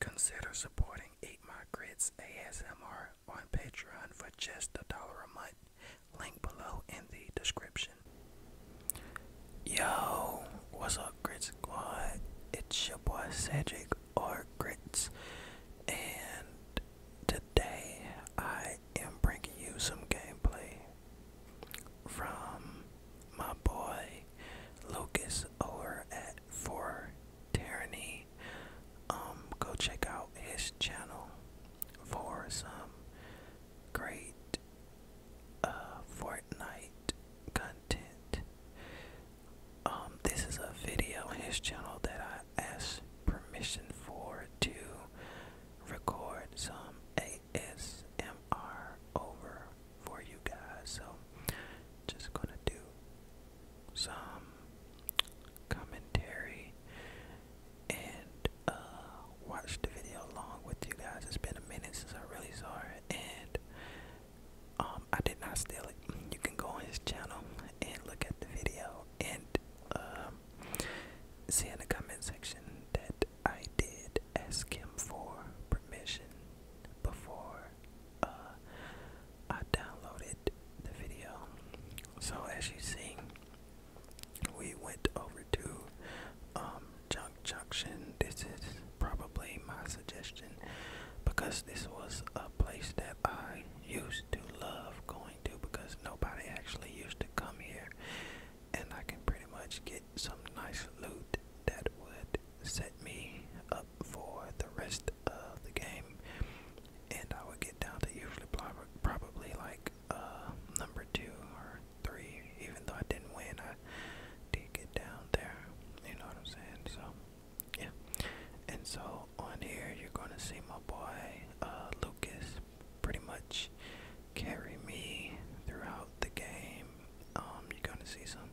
Consider supporting Eight My Grits ASMR on Patreon for just a dollar a month. Link below in the description. Yo, what's up, Grit Squad? It's your boy Cedric or Grits, and today I am bringing you some gameplay from my boy Lucas over at For Tyranny. Um, go check out his channel for some great uh, Fortnite content. Um, this is a video in his channel that I ask permission for to record some ASMR over for you guys. So just gonna do some commentary and uh watch the video along with you guys. It's been a minute since I really saw it and um um, I did not steal it. You can go on his channel and look at the video and um, see in the comment section that I did ask him for permission before uh, I downloaded the video. So as you see, we went over to um, Junk Junction. This is probably my suggestion because this was a place that I used to love going to because nobody actually used to come here and I can pretty much get some nice loot that would set me up for the rest of the game and I would get down to usually probably like uh, number two or three even though I didn't win I did get down there you know what I'm saying so yeah. And so on here, you're gonna see my boy uh, Lucas pretty much carry me throughout the game. Um, you're gonna see some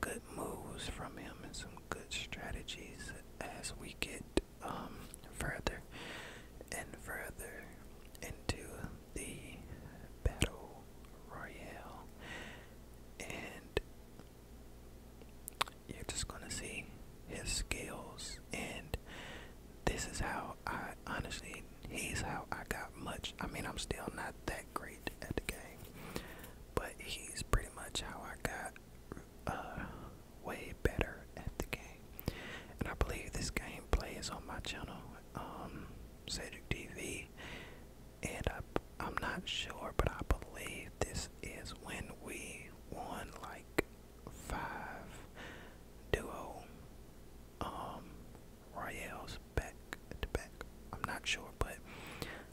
good moves from him and some good strategies as we get um further and further into the battle royale and you're just gonna see his skills and this is how I honestly he's how I got much I mean I'm still not that great at the game but he's pretty much how I got uh, way better at the game and I believe this game is on my channel um, Cedric TV and I, am not sure, but I believe this is when we won like five duo um royales back to back. I'm not sure, but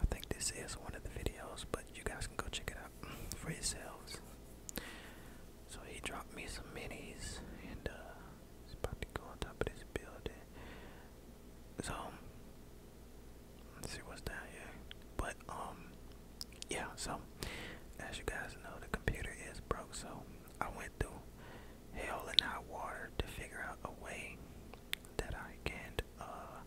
I think this is one of the videos, but you guys can go check it out for yourselves. So he dropped me some minis and uh about to go on top of building. So let's see what's down here. But um yeah, so as you guys know the computer is broke, so I went through hell and high water to figure out a way that I can uh,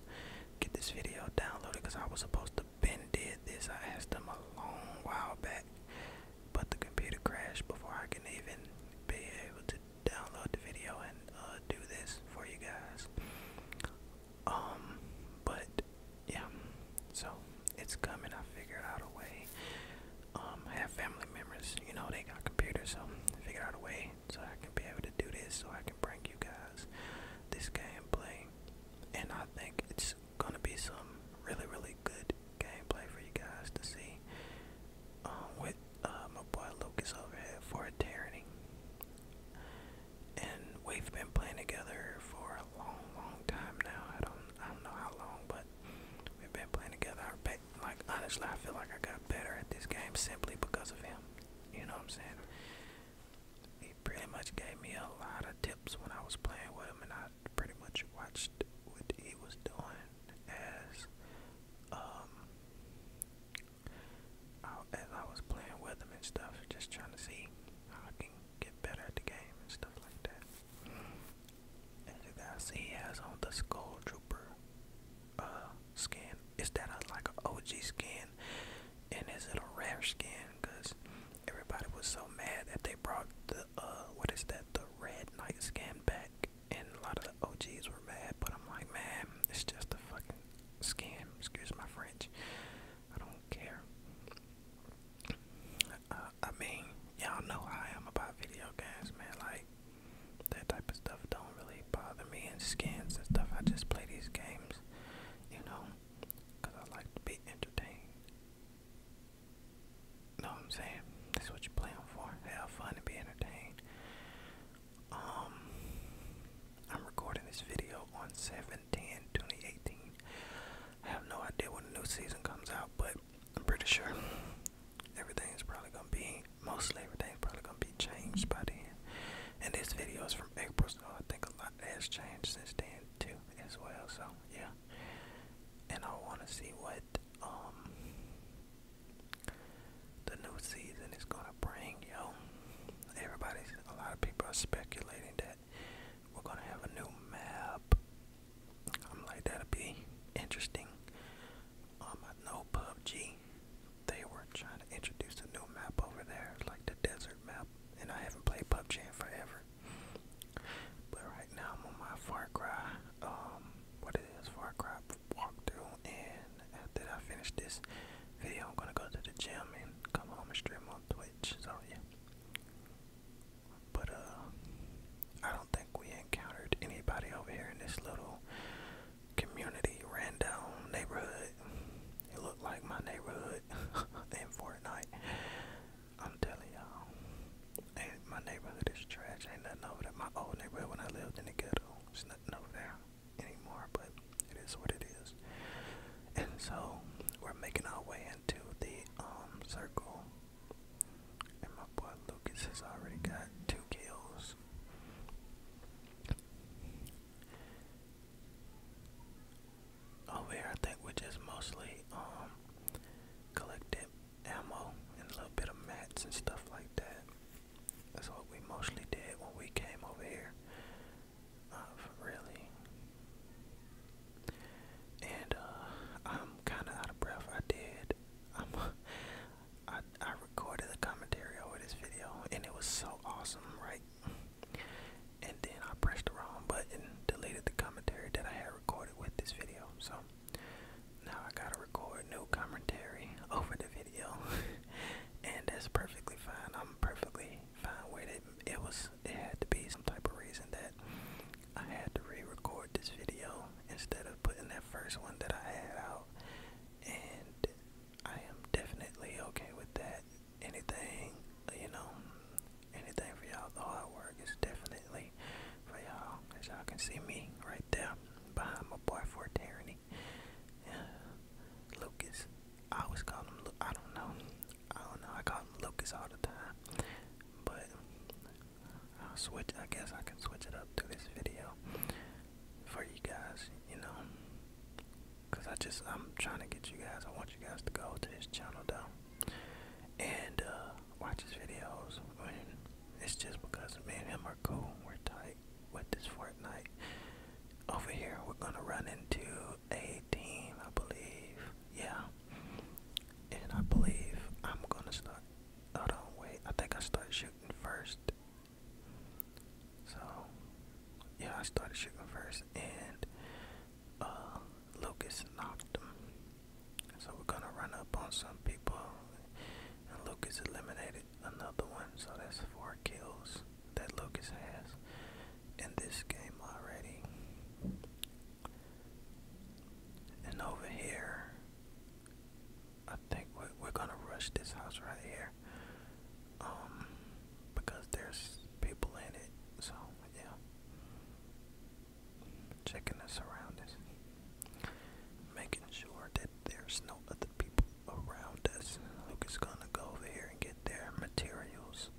get this video downloaded because I was supposed to Ben did this. I asked them a long while back, but the computer crashed before I can even be able to download the video and uh, do this for you guys. Um, but yeah, so it's coming. I figured out a way. Um, have family members, you know, they got computers, so figured out a way so I can be able to do this, so I can bring you guys this gameplay. And I think it's gonna be some really, really good gameplay for you guys to see. Um, with uh, my boy Lucas over for a tyranny and we've been playing together for a long, long time now. I don't, I don't know how long, but we've been playing together. I like honestly, I feel like I got better at this game simply because of him. You know what I'm saying? He pretty much gave me a lot of tips when I was playing with him, and I pretty much watched what he was doing as um as I was playing with him and stuff, just trying to see how I can get better at the game and stuff like that. And you he has on the Skull Trooper uh, skin. Is that uh, like an OG skin? And is it a rare skin? Because everybody was so mad that they brought the, uh, what is that, the Red Knight skin back and a lot of the OGs were mad, but I'm like, man, it's just a fucking scam. Excuse my French. I don't care. Uh, I mean, y'all know I am about video games, man. Like, that type of stuff don't really bother me and skins and stuff. I just play these games, you know, because I like to be entertained. Know what I'm saying? That's what you play them for. Have fun and be entertained. Um, I'm recording this video on 7-10-2018. I have no idea when the new season comes out, but I'm pretty sure everything is probably gonna be mostly everything's probably gonna be changed by then. And this video is from April, so I think a lot has changed since then too as well. So yeah. And I wanna see what um the new season is gonna bring, yo. Everybody's a lot of people are speculating that we're gonna have a new map. I'm like that'll be interesting. Um, I know PUBG. They were trying to introduce a new map over there, like the desert map, and I haven't played PUBG in forever. But right now I'm on my Far Cry. Um, what it is, Far Cry walkthrough and after I finish this video I'm gonna go to the gym and come home and stream on Twitch. So yeah. But uh I don't think we encountered anybody over here in this little community rundown neighborhood. It looked like my neighborhood in Fortnite. I'm telling y'all. Ain't my neighborhood is trash. Ain't nothing over there. My old neighborhood when I lived in the ghetto. There's nothing over there anymore, but it is what it is. And so we're making our way into the um circle. And my boy Lucas has already got two kills. Over here, I think we just mostly um collected ammo and a little bit of mats and stuff like that. That's what we mostly did when we came over here. Uh, really. And uh, I'm kind of out of breath. I did. I'm, I I recorded the commentary over this video, and it was so awesome, right? And then I pressed the wrong button, deleted the commentary that I had recorded with this video. So now I gotta record new commentary over the video, and that's perfectly fine. I'm perfectly fine with it. It was it had to be some type of reason that I had to re-record this video instead of putting that first one that I had out, and I am definitely okay with that. Anything, you know, anything for y'all, the hard work is definitely for y'all. As y'all can see me right there behind my boy Fort Lucas. I always call him Lu I don't know. I don't know. I call him Lucas all the time. But I'll switch I guess I can switch it up to this video for you guys, you know. Cause I just I'm trying to get you guys I want you guys to go to this channel though and uh watch his videos when it's just because me and him are cool. We're tight with this Fortnite. Over here, we're gonna run into a team, I believe. Yeah. And I believe I'm gonna start. Hold on, wait. I think I start shooting first. So, yeah, I started shooting first, and uh, Lucas knocked him. So we're gonna run up on some people, and Lucas eliminated another one. So that's four kills that Lucas has in this game already. And over here, I think we're, we're gonna rush this house right here, um, because there's people in it. So yeah checking the surroundings, making sure that there's no other people around us Lucas is gonna go over here and get their materials.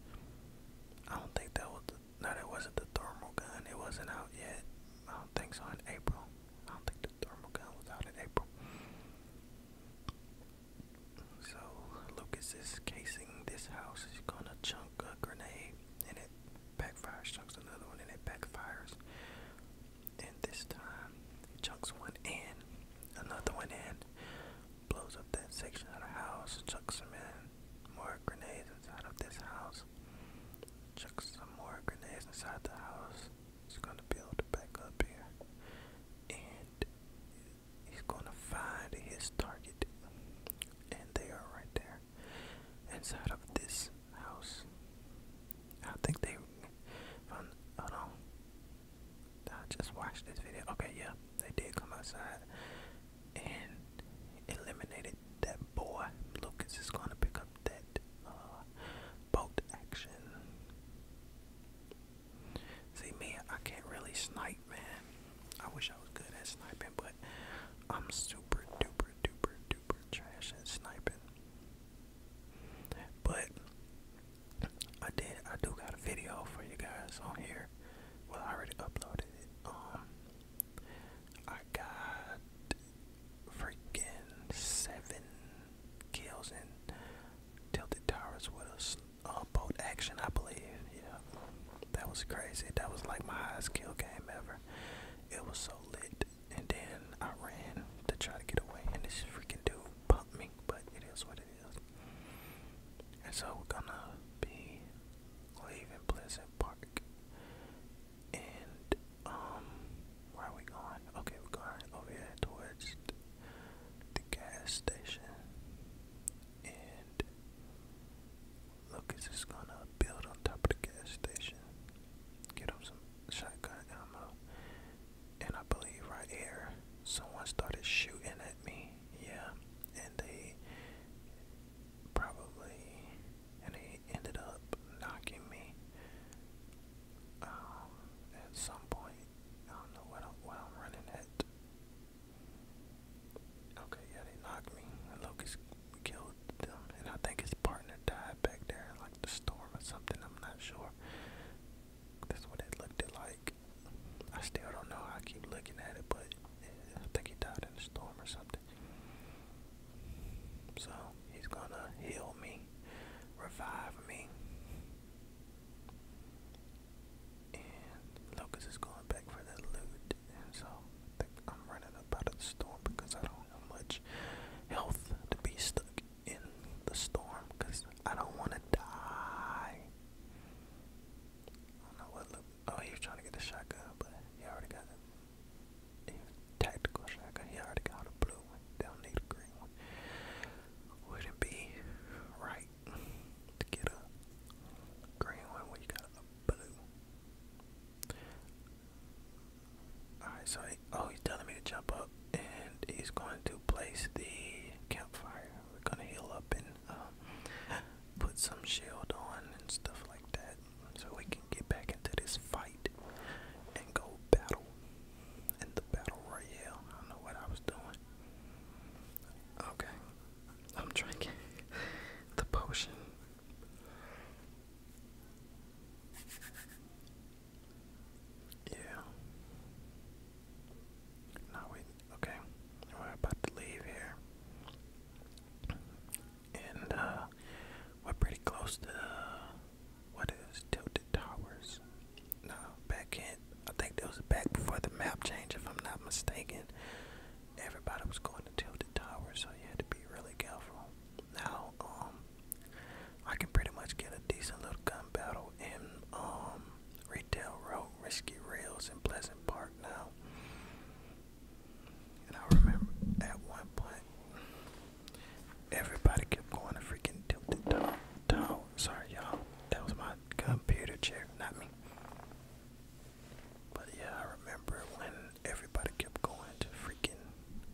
I don't think that was the, no, wasn't the thermal gun. It wasn't out yet. I don't think so in April. I don't think the thermal gun was out in April. So Lucas is casing this house. He's gonna chunk a grenade in it back backfires. Chunks another one, and it backfires. And this time, chunks one in, another one in, blows up that section of the house. Chucks some in more grenades inside of this house. Chucks some more grenades inside the house. He's gonna be able to back up here, and he's gonna find his target. And they are right there inside of this house. I think they found. Oh no! I just watched this video. Okay, yeah, they did come outside and eliminated that boy. Lucas is going to pick up that uh, boat action. See, me, I can't really snipe, man. I wish I was good at sniping, but I'm super duper duper duper trash at sniping. But I did I do got a video for you guys on here. Well I already uploaded it. Um I got freaking seven kills in Tilted Towers with a bolt action I believe. Yeah. That was crazy. That was like my highest kill game ever. It was so lit. And then I ran to try to get away, and this freaking dude bumped me, but it is what it is. And so we're gonna be leaving Pleasant Park. And, um, where are we going? Okay, we're going over here towards the gas station. And Lucas is gonna build on top of the gas station, get him some shotgun ammo, and I believe right here someone started shooting at me. Yeah, and they probably and they ended up knocking me. Um, at some point, I don't know what I'm, running at. Okay, yeah, they knocked me. And killed them, and I think his partner died back there like the storm or something. I'm not sure. That's what it looked like. I still don't know. I keep looking at it, but I think he died in the storm or something. So he's gonna heal me, revive me, and Lucas is going back for the loot. And so I think I'm running about the storm because I don't have much health to be stuck in the storm because I don't want to die. Oh, he was trying to get the shotgun, but he already got it. Tactical shotgun. He already got a blue one. They don't need a green one. Would it be right to get a green one when you got a blue? Alright, so oh, he's telling me to jump up, and he's going to place the campfire. We're gonna heal up and um, put some shield on and stuff like that, so we can get back into this fight and go battle in the battle royale. I don't know what I was doing. Okay, I'm drinking the potion yeah. Now we okay. We're about to leave here. And uh, we're pretty close to the what is Tilted Towers. No, back in I think there was back before the map change if I'm not mistaken everybody was going to Tilted Tower, so you had to be really careful. Now, um, I can pretty much get a decent little gun battle in um Retail Road, Risky Rails, and Pleasant Park now. And I remember at one point, everybody kept going to freaking Tilted Tower. Sorry, y'all. That was my computer chair, not me. But yeah, I remember when everybody kept going to freaking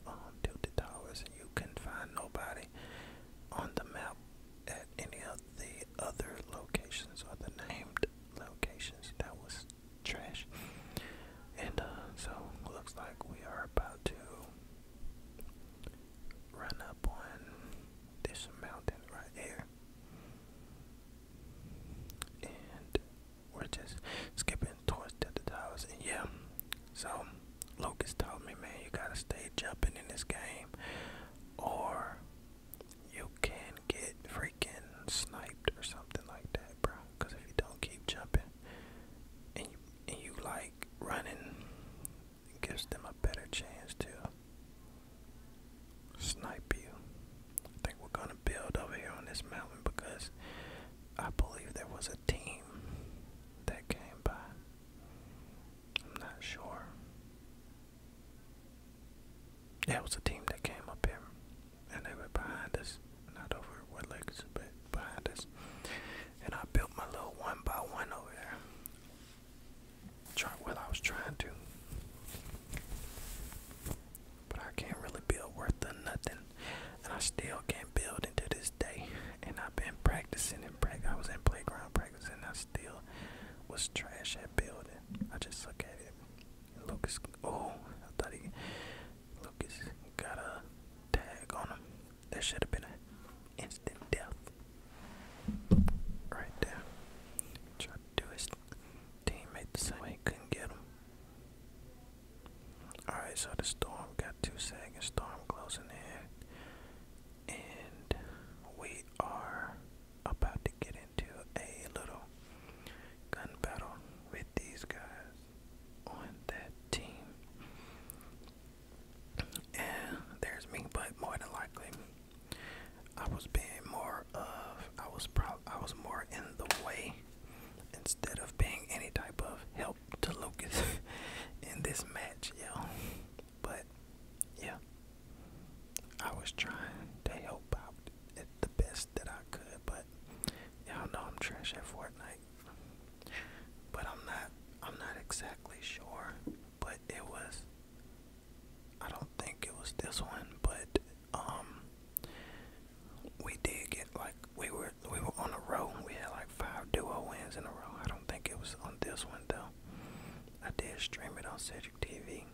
um, Tilted Towers and you couldn't find nobody on the map at any of the other locations or the named locations. That was trash. And uh, so looks like we are about to run up on this mountain right here and we're just skipping towards the towers and yeah so Locust told me man you gotta stay jumping in this game or you can get freaking sniped or something like that bro because if you don't keep jumping and you, and you like running it gives them a better chance to snipe you. I think we're gonna build over here on this mountain because I believe there was a team that came by. I'm not sure. Yeah, it was a team that came up here and they were behind us. Not over what legs, but behind us. And I built my little one by one over there. Try well, I was trying to, but I can't really build worth of nothing, and I still can't build into this day. And I've been practicing and practice. I was in playground practice, and I still was trash at building. I just look at it. Lucas, oh, I thought he Lucas got a tag on him. That should have been an instant death. Right there. Try to do his Teammate the same way, couldn't get him. Alright, so the storm got two seconds. Storm closing in. And we are about to get into a little gun battle with these guys on that team. And there's me, but more than likely I was being more of I was proud I was more in the way instead of being any type of help to Lucas in this match, yo. But yeah. I was trying to help out at the best that I could, but y'all know I'm trash at Fortnite. But I'm not I'm not exactly sure but it was I don't think it was this one, but um we did get like we were we were on a row. We had like five duo wins in a row. I don't think it was on this one though. I did stream it on Cedric TV.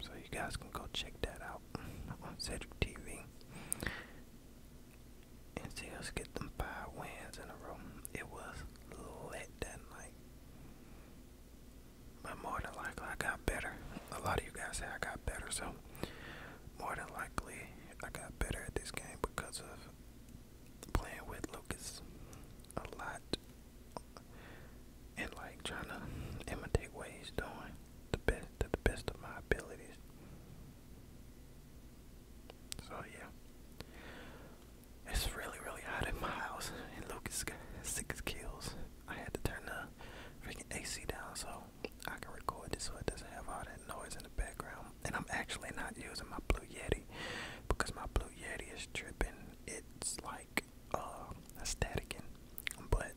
So you guys can go check that out on Cedric TV and see us get them five wins in a row it was lit that night. But more than likely, I got better. A lot of you guys say I got better, so more than likely, I got better at this game because of playing with Lucas a lot and like trying to imitate what he's doing the best the best of my abilities. So yeah, it's really, really hot in my house, and Lucas got six kills. I had to turn the freaking AC down so I can record this so it doesn't have all that noise in the background. And I'm actually not using my Blue Yeti because my Blue Yeti is tripping. It's like uh, a staticing, but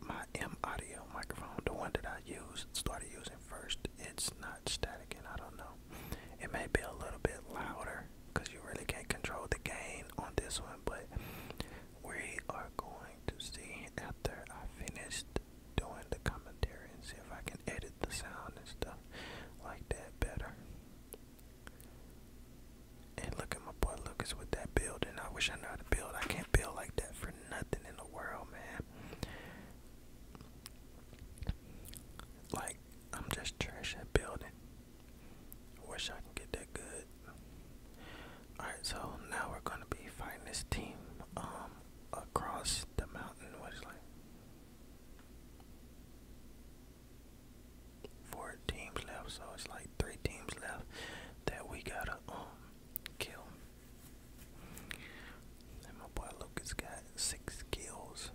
my M Audio microphone, the one that I used, started using first, it's not staticing. I don't know. It may be a little bit louder because you really can't control the gain on this one, but we are going to see after I finished doing the commentary and see if I can edit the sound and stuff like that better. And look at my boy Lucas with that build. And I wish I knew how to build. I can't build like that for nothing in the world, man. Like, I'm just trash at building. Wish I could get that good. Alright, so now we're gonna be fighting this team um across the mountain was like four teams left, so it's like three teams left that we gotta um kill my boy Lucas got six kills.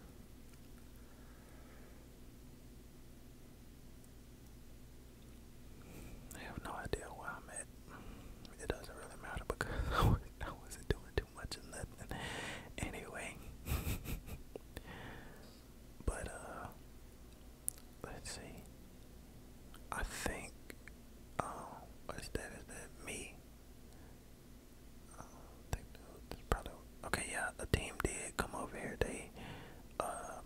I have no idea where I'm at. It doesn't really matter because I wasn't doing too much of nothing anyway. but, uh, let's see. I think, um, what's that? Is that me? okay. Yeah, the team did come over here. They, um,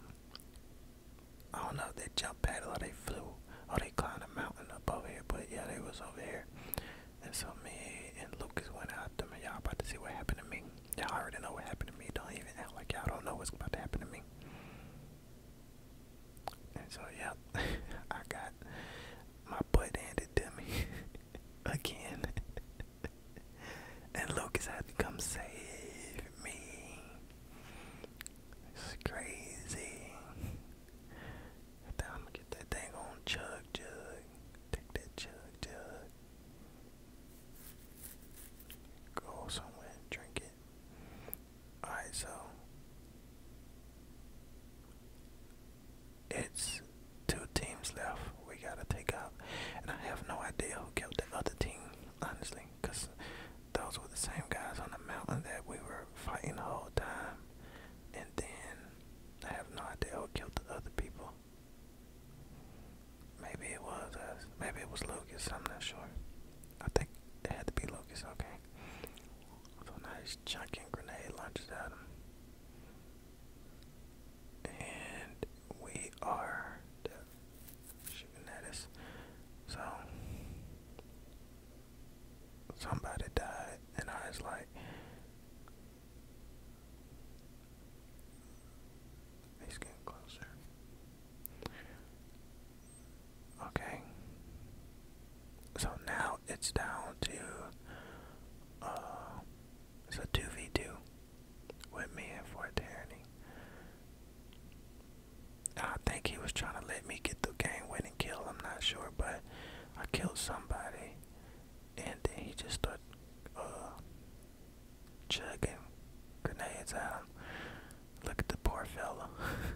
I don't know they jumped, paddle or they flew or they climbed a mountain up over here. But yeah, they was over here. And so me and Lucas went out to me. Y'all about to see what happened to me. Y'all already know what happened to me. Don't even act like y'all don't know what's about to happen to me. And so yeah, I got my butt handed to me again. and Lucas had to come save me. It's crazy. i get that thing on chug jug. Take that chug jug. Go somewhere and drink it. Alright, so it's two teams left. We gotta take out, and I have no idea who killed the other team, honestly, cause those were the same guys on the mountain that we were fighting the whole time. And then I have no idea who killed the other people. Maybe it was us. Maybe it was Lucas. I'm not sure. I think it had to be Lucas. Okay. So now he's chucking grenade launchers at him. And we are shooting at us. So somebody died and I was like He's getting closer. Okay. So now it's down to uh it's a two v two with me and Fort Tyranny. I think he was trying to let me get the game and kill, I'm not sure, but I killed somebody and then he just started uh chugging grenades out. Look at the poor fellow.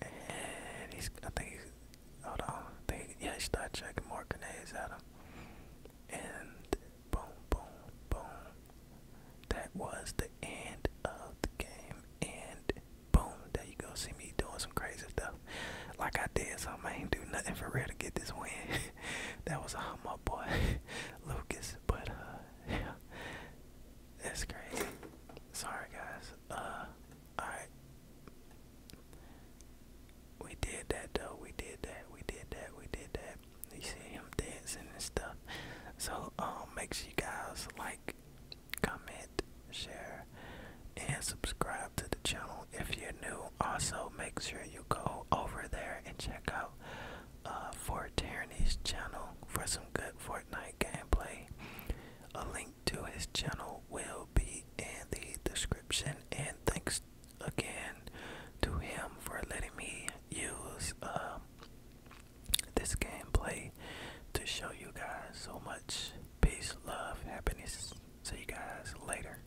And he's, I think hold on, think, yeah, he started checking more grenades at him. And boom, boom, boom. That was the end of the game. And boom, there you go. See me doing some crazy stuff. Like I did So I ain't do nothing for real to get this win. that was a hummer, boy, Lucas. But, uh, yeah. It's crazy. Sorry guys. Uh alright. We did that though. We did that. We did that. We did that. You see him dancing and stuff. So um make sure you guys like, comment, share, and subscribe to the channel if you're new. Also make sure you go over there and check out uh, for Tierney's channel for some good Fortnite gameplay. A link to his channel will be in the description. And thanks again to him for letting me use uh, this gameplay to show you guys so much peace, love, happiness. See you guys later.